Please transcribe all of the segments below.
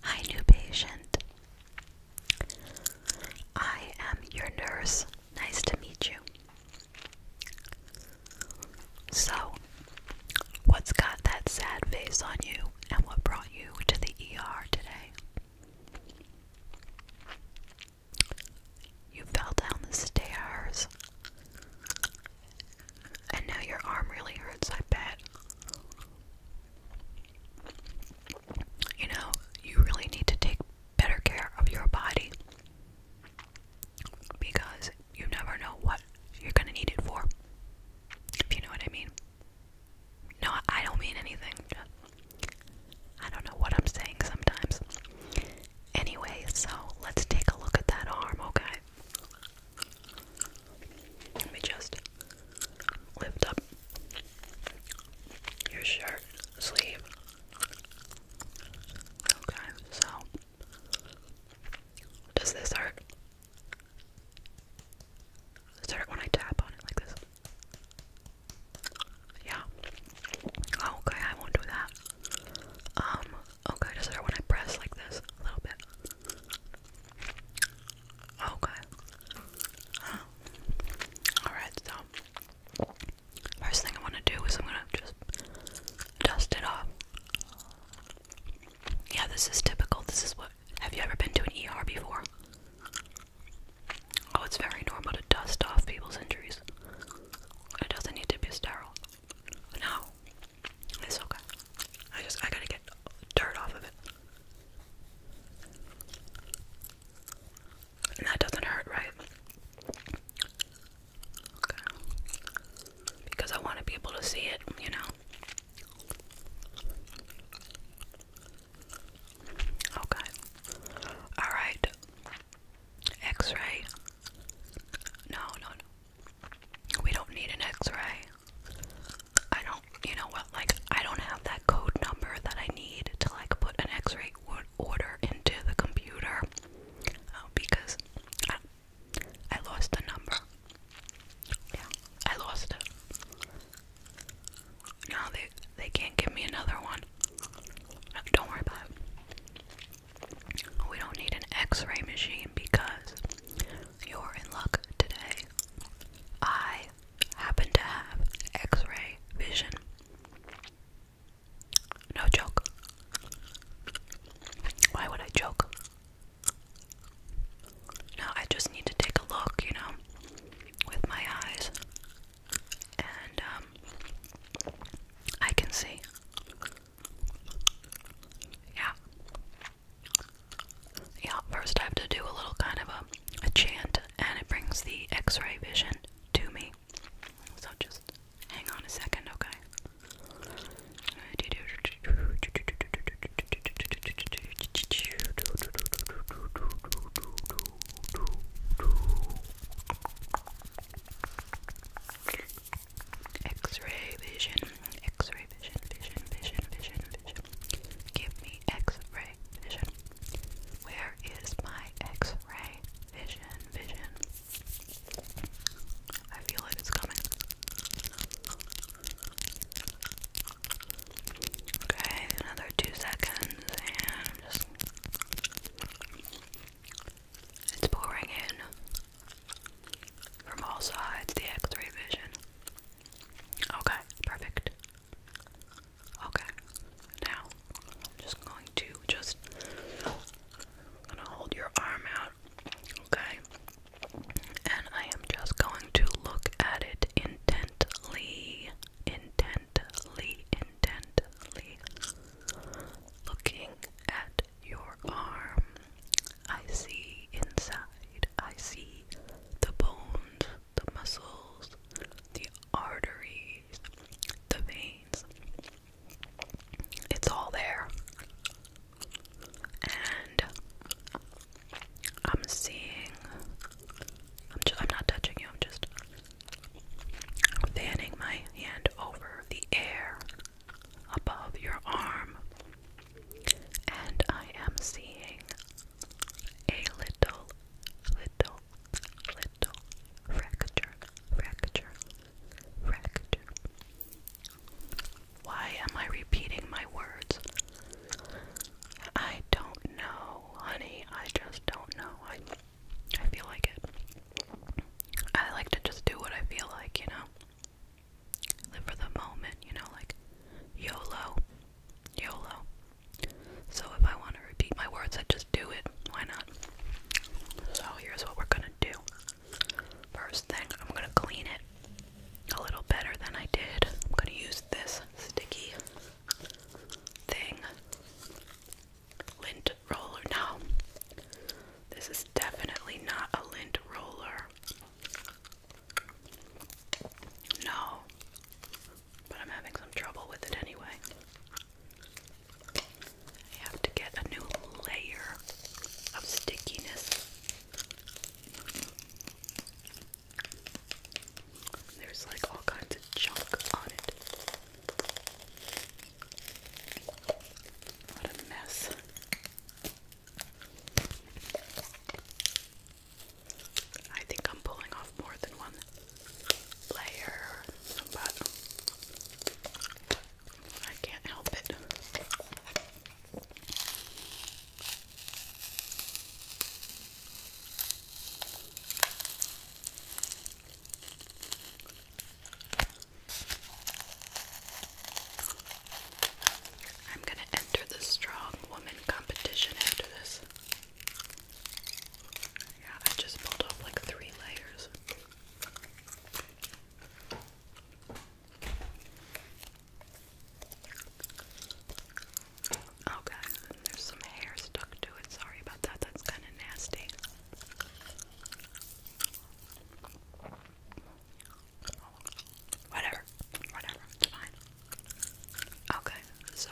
Hi, new patient. I am your nurse. Nice to meet you. So, what's got that sad face on you, and what brought you to the ER today? You fell down the stairs and now your arm really hurts, I bet. You know, you really need to take better care of your body because you never know what you're gonna need it for. If you know what I mean. No, I don't mean anything. I don't know what I'm saying sometimes. Anyway, so let's take a look at that arm, okay? Let me just lift up your shirt sleeve. Okay, so does this hurt? it hurt when I tap on it like this? Yeah. Oh, okay, I won't do that. Um, Okay, does it when I press like this? A little bit. Okay. Alright, so first thing I want to do is I'm going to just dust it off. Yeah, this is typical. This is what. Have you ever been to an ER before? Oh, it's very normal to dust off people's injuries. It doesn't need to be sterile. No, it's okay. I just I gotta get dirt off of it. And that doesn't hurt, right? Okay. Because I want to be able to see it, you know. Okay. Alright. X ray. No, no, no. We don't need an x ray. I don't, you know what, like, I don't have that code number that I need to, like, put an x ray order into the computer um, because I, lost the number. Yeah, I lost it. they, they can't give me another one. Don't worry about it. We don't need an x ray machine because you're in luck today. I happen to have x ray vision. No joke. Why would I joke? No, I just need to take a look, you know, with my eyes. And, um, I can see. Yeah. Yeah, first I have to do a little kind of a, chant, and it brings the x ray vision to me. So just hang on a second, okay? X-ray vision, X-ray vision, vision, vision, vision, vision. Give me X-ray vision. Where is my X-ray vision, vision? I feel it is coming. Okay, another two seconds, and just it's pouring in from all sides, the x ray vision. Okay, perfect. Okay, now I'm just going to just gonna hold your arm out, okay? And I am just going to look at it intently, intently, intently, looking at your arm, I see inside. I see the bones, the muscles, the arteries, the veins. It's all there. And I'm seeing I'm just, I'm not touching you. I'm just fanning my hand over the air above your arm, and I am seeing a little, little, little fracture, fracture, fracture. Why am I repeating my words? I don't know, honey. I just don't know. I, I feel like it. I like to just do what I feel like, you know. Live for the moment, you know, like YOLO. YOLO. So if I want to repeat my words, I just do it. Why not? So here's what we're gonna do. First thing, I'm gonna clean it a little better than I did. I'm gonna use this sticky thing. Lint roller now. This is definitely not a lint roller. No, but I'm having some trouble with it anyway. I have to get a new layer of stickiness. There's like all kinds of junk on it. What a mess. I think I'm pulling off more than one layer, but I can't help it. I'm going to enter the strong woman competition after this. Yeah, I just pulled off like three layers. Oh, guys, there's some hair stuck to it. Sorry about that. That's kind of nasty. Whatever. Whatever. fine. Okay, so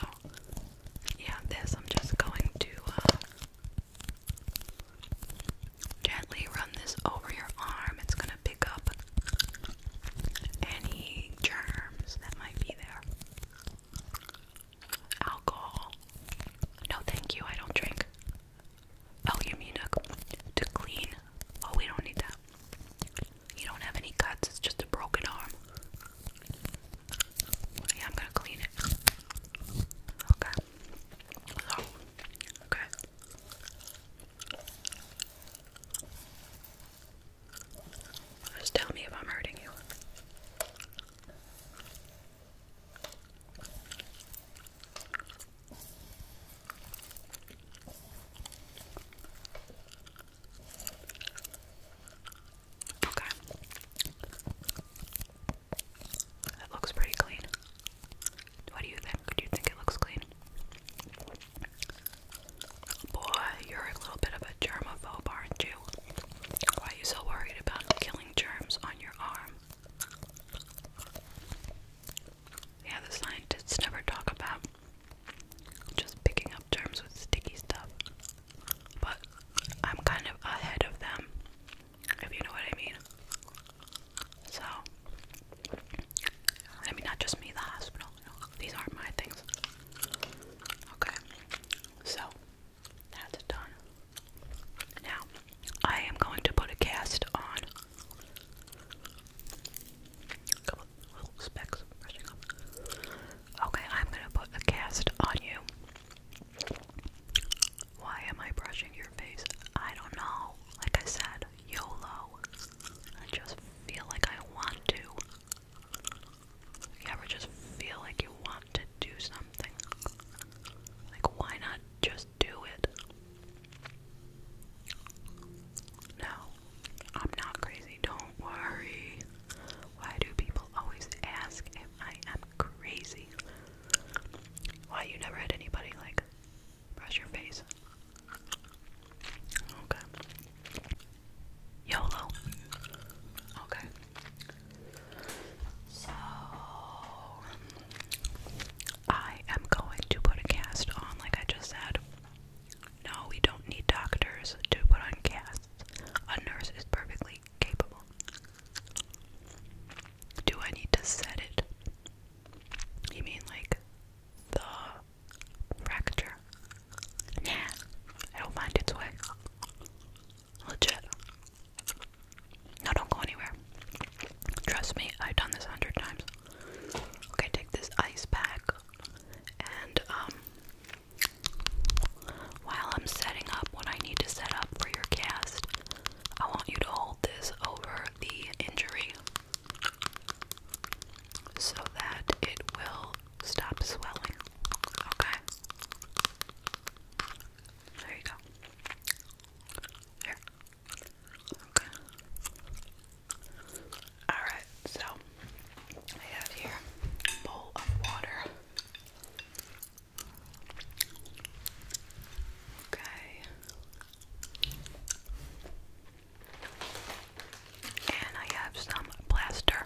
yeah, this I'm just going to uh, gently run this over your arm. It's gonna pick up any germs that might be there. Alcohol. No, thank you. I don't drink. Oh, you mean to clean? Oh, we don't need that. You don't have any cuts, it's just a broken arm. Yeah, I'm gonna clean it. Okay. Oh, okay. Just tell me if I'm hurting you. Okay. That looks pretty clean. What do you think? Do you think it looks clean? Boy, you're a little bit of a germaphobe, aren't you? Why are you so worried about killing germs on your arm? Yeah, the scientists never talk about just picking up terms with sticky stuff. But I'm kind of ahead of them, if you know what I mean. So, I mean, not just me, the hospital. these aren't my things. Okay, so that's done. Now, I am going to put a cast on. Okay, I'm going to put a cast on you. Why am I brushing your face? I don't know. Like I said, YOLO. I just feel like I want to. You ever just feel like you want to do something? Like, why not just do it. No, I'm not crazy. Don't worry. Why do people always ask if I am crazy? Why you never had anybody like brush your face? Okay. YOLO. Okay. So, I am going to put a cast on, like I just said. No, we don't need doctors to put on casts. A nurse is perfectly capable. Do I need to set it? You mean like the fracture? Nah, it'll find its way. Legit. No, don't go anywhere. Trust me, I've done this a hundred times. Okay, take this ice pack and um, while I'm setting up what I need to set up for your cast, I want you to hold this over the injury so that it will stop swelling. Okay. There you go. Here. Okay. Alright, so I have here a bowl of water. Okay. And I have some plaster.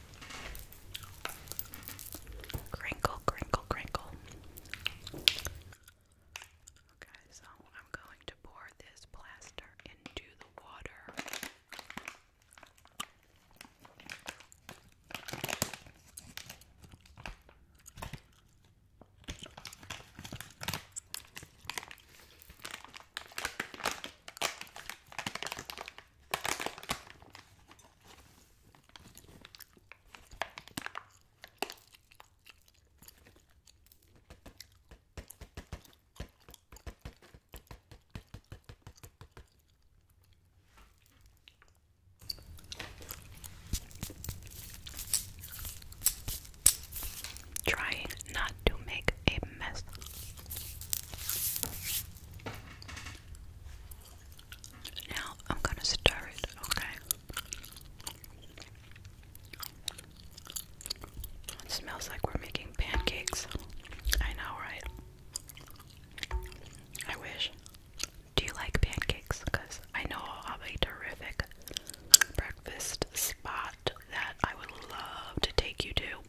Crinkle, crinkle, crinkle. Okay, so I'm going to pour this plaster into the water. Trying not to make a mess. Now I'm gonna stir it, okay? smells like we're making pancakes. I know, right? I wish. Do you like pancakes? Because I know of a terrific breakfast spot that I would love to take you to.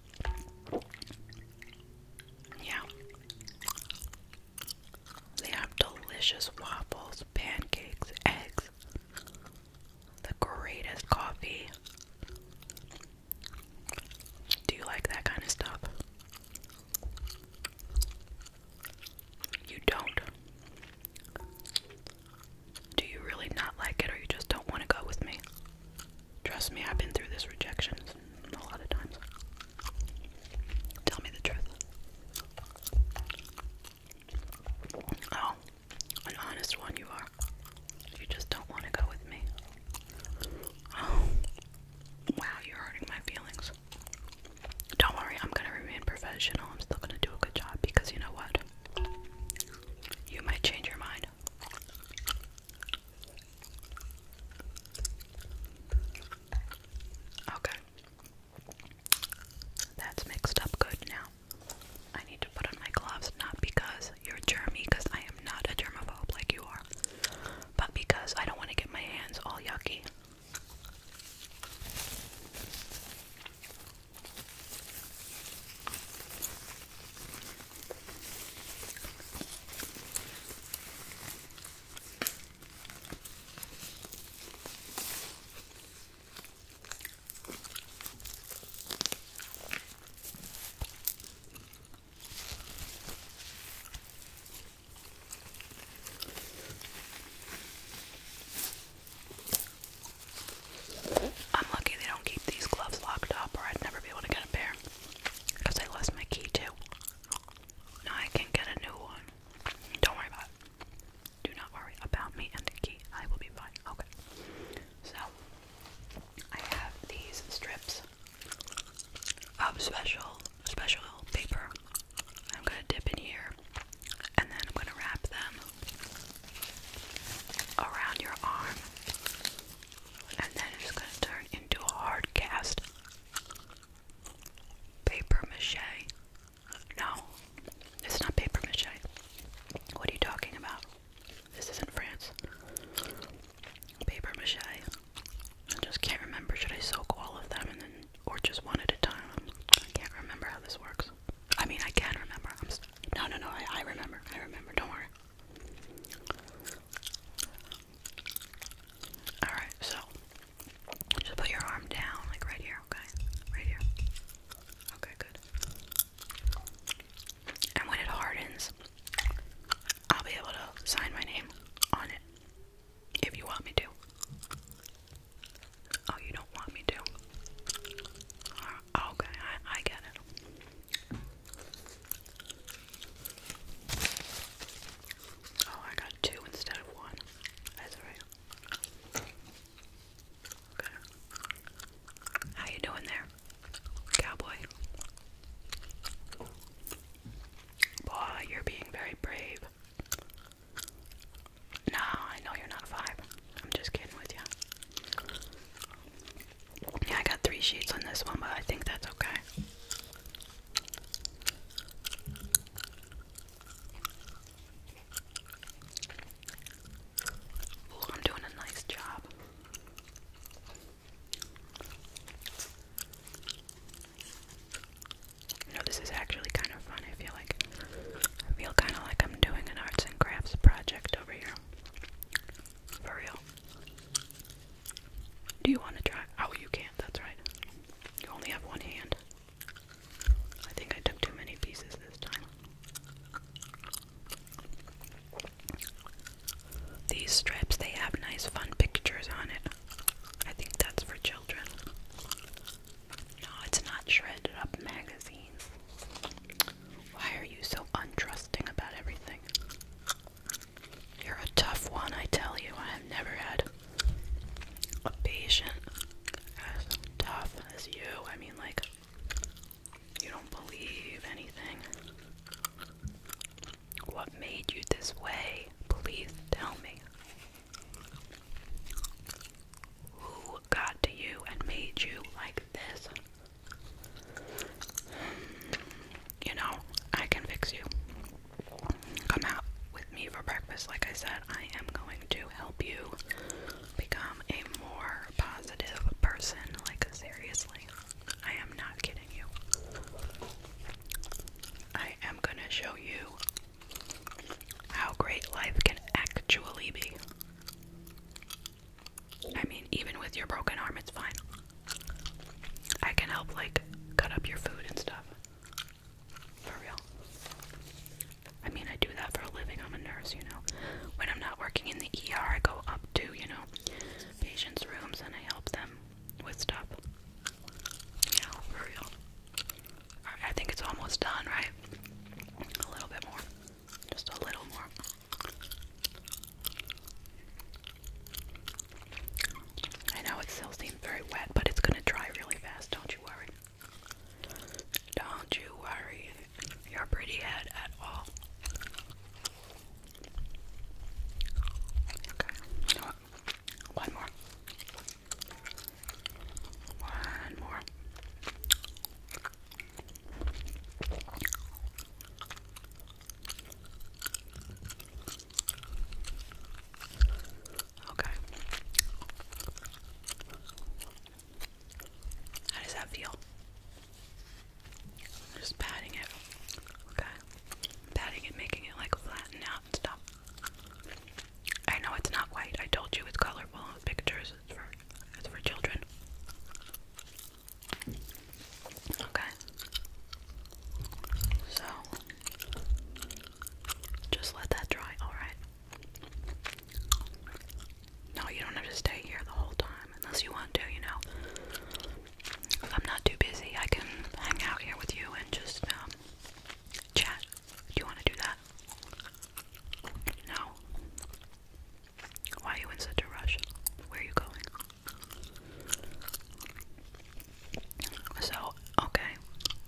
Yeah. They have delicious waffles, pancakes, eggs, the greatest coffee. Do you like that kind of stuff? You don't. Do you really not like it, or you just don't want to go with me? Trust me, I've been through this rejection a lot of times. Tell me the truth. Oh, an honest one you are. You just don't want to go with me. Oh, wow, you're hurting my feelings. Don't worry, I'm gonna remain professional. I'm still gonna do a good job because you know what? You might change your mind. Okay. That's mixed up good now. I need to put on my gloves not because you're germy, because I am not a germaphobe like you are, but because I don't want to get my hands all yucky. I'm lucky they don't keep these gloves locked up, or I'd never be able to get a pair. Because I lost my key too. Now I can get a new one. Don't worry about it. Do not worry about me and the key. I will be fine. Okay. So, I have these strips of special, special paper. I'm going to dip in here and then I'm going to wrap them around your arm and then it's going to turn into a hard cast paper mache. No, it's not paper mache. What are you talking about? This isn't France. Paper mache. I just can't remember. Should I soak all of them and then, or just one at a time? I can't remember how this works. I mean, I can remember. I'm no, no, no. I remember. I remember. Don't worry. Alright, so just put your arm down, like right here, okay? Right here. Okay, good. And when it hardens, I'll be able to sign my name on it. If you want me to. Oh, you don't want me to? Uh, okay, I, I get it. Oh, I got two instead of one. That's alright. Okay. How you doing there, cowboy? Boy, you're being very brave. No, I know you're not a five. I'm just kidding with you. Yeah, I got three sheets on this one, but I think that's okay. I'm doing a nice job. You know, this is actually kind of fun. I feel like I feel kind of like I'm doing an arts and crafts project over here. For real. Do you want to try? Oh, you can't. That's right. You only have one hand. I think I took too many pieces this time. These strips, they have nice fun pictures on it. I think that's for children. No, it's not shredded up magazines. Why are you so untrusting about everything? You're a tough one, I tell you. I have never had a patient as tough as you. I mean, like, you don't believe anything. What made you this way? Please tell me. Who got to you and made you like this? you know, I can fix you. Come out with me for breakfast. Like I said, I am going to help you become a more positive person. Like, seriously, I am not kidding you. I am gonna show you how great life can actually be. I mean, even with your broken arm, it's fine. I can help like cut up your food and stuff. For real. I mean, I do that for a living. I'm a nurse, you know. When I'm not working in the ER, I go up to, you know, patients' rooms and I help them with stuff. Yeah, for real. I think it's almost done, right? A little bit more. Just a little more. I know it still seems very wet, but it's gonna dry really fast, don't you worry. Don't you worry your pretty head at all. Okay, One more. One more. Okay. How does that feel? I'm just patting it. Okay. I'm patting it, making it like flatten out and stuff. I know it's not white. I told you it's colorful. Pictures. It's for it's for children. Okay. So just let that dry, alright? No, you don't have to stay here the whole time unless you want to, you know. If I'm not too busy, I can hang out here with you and just um, chat. Do you want to do that? No. Why are you in such a rush? Where are you going? So, okay,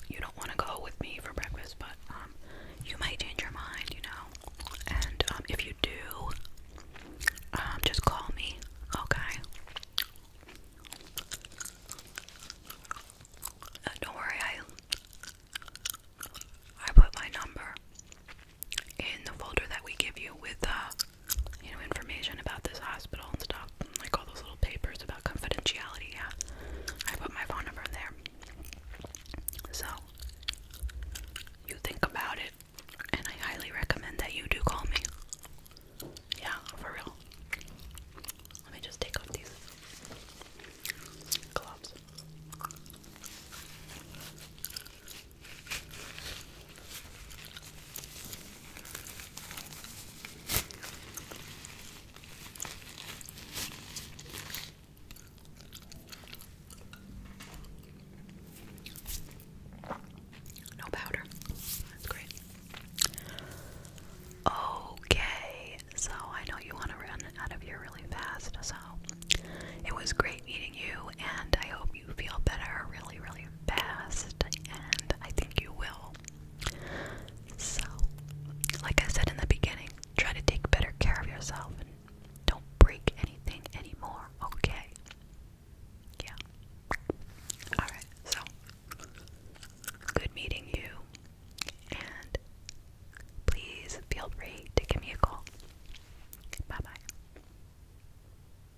you don't want to go with me for breakfast, but um, you might change your mind, you know. And um, if you do, um, just call me, okay? Uh, don't worry, I I put my number in the folder that we give you with uh, you know, information about this hospital and stuff, like all those little papers about confidentiality. Yeah, I put my phone number in there. So you think about it, and I highly recommend that you do call me. Yeah, for real. Let me just take off these gloves. No powder. That's great. Okay, so I know you want to run out of here really fast, so it was great meeting you, and I hope you feel better really, really past, and I think you will. So, like I said in the beginning, try to take better care of yourself and don't break anything anymore, okay? Yeah. Alright, so good meeting you, and please feel free to give me a call. Bye bye.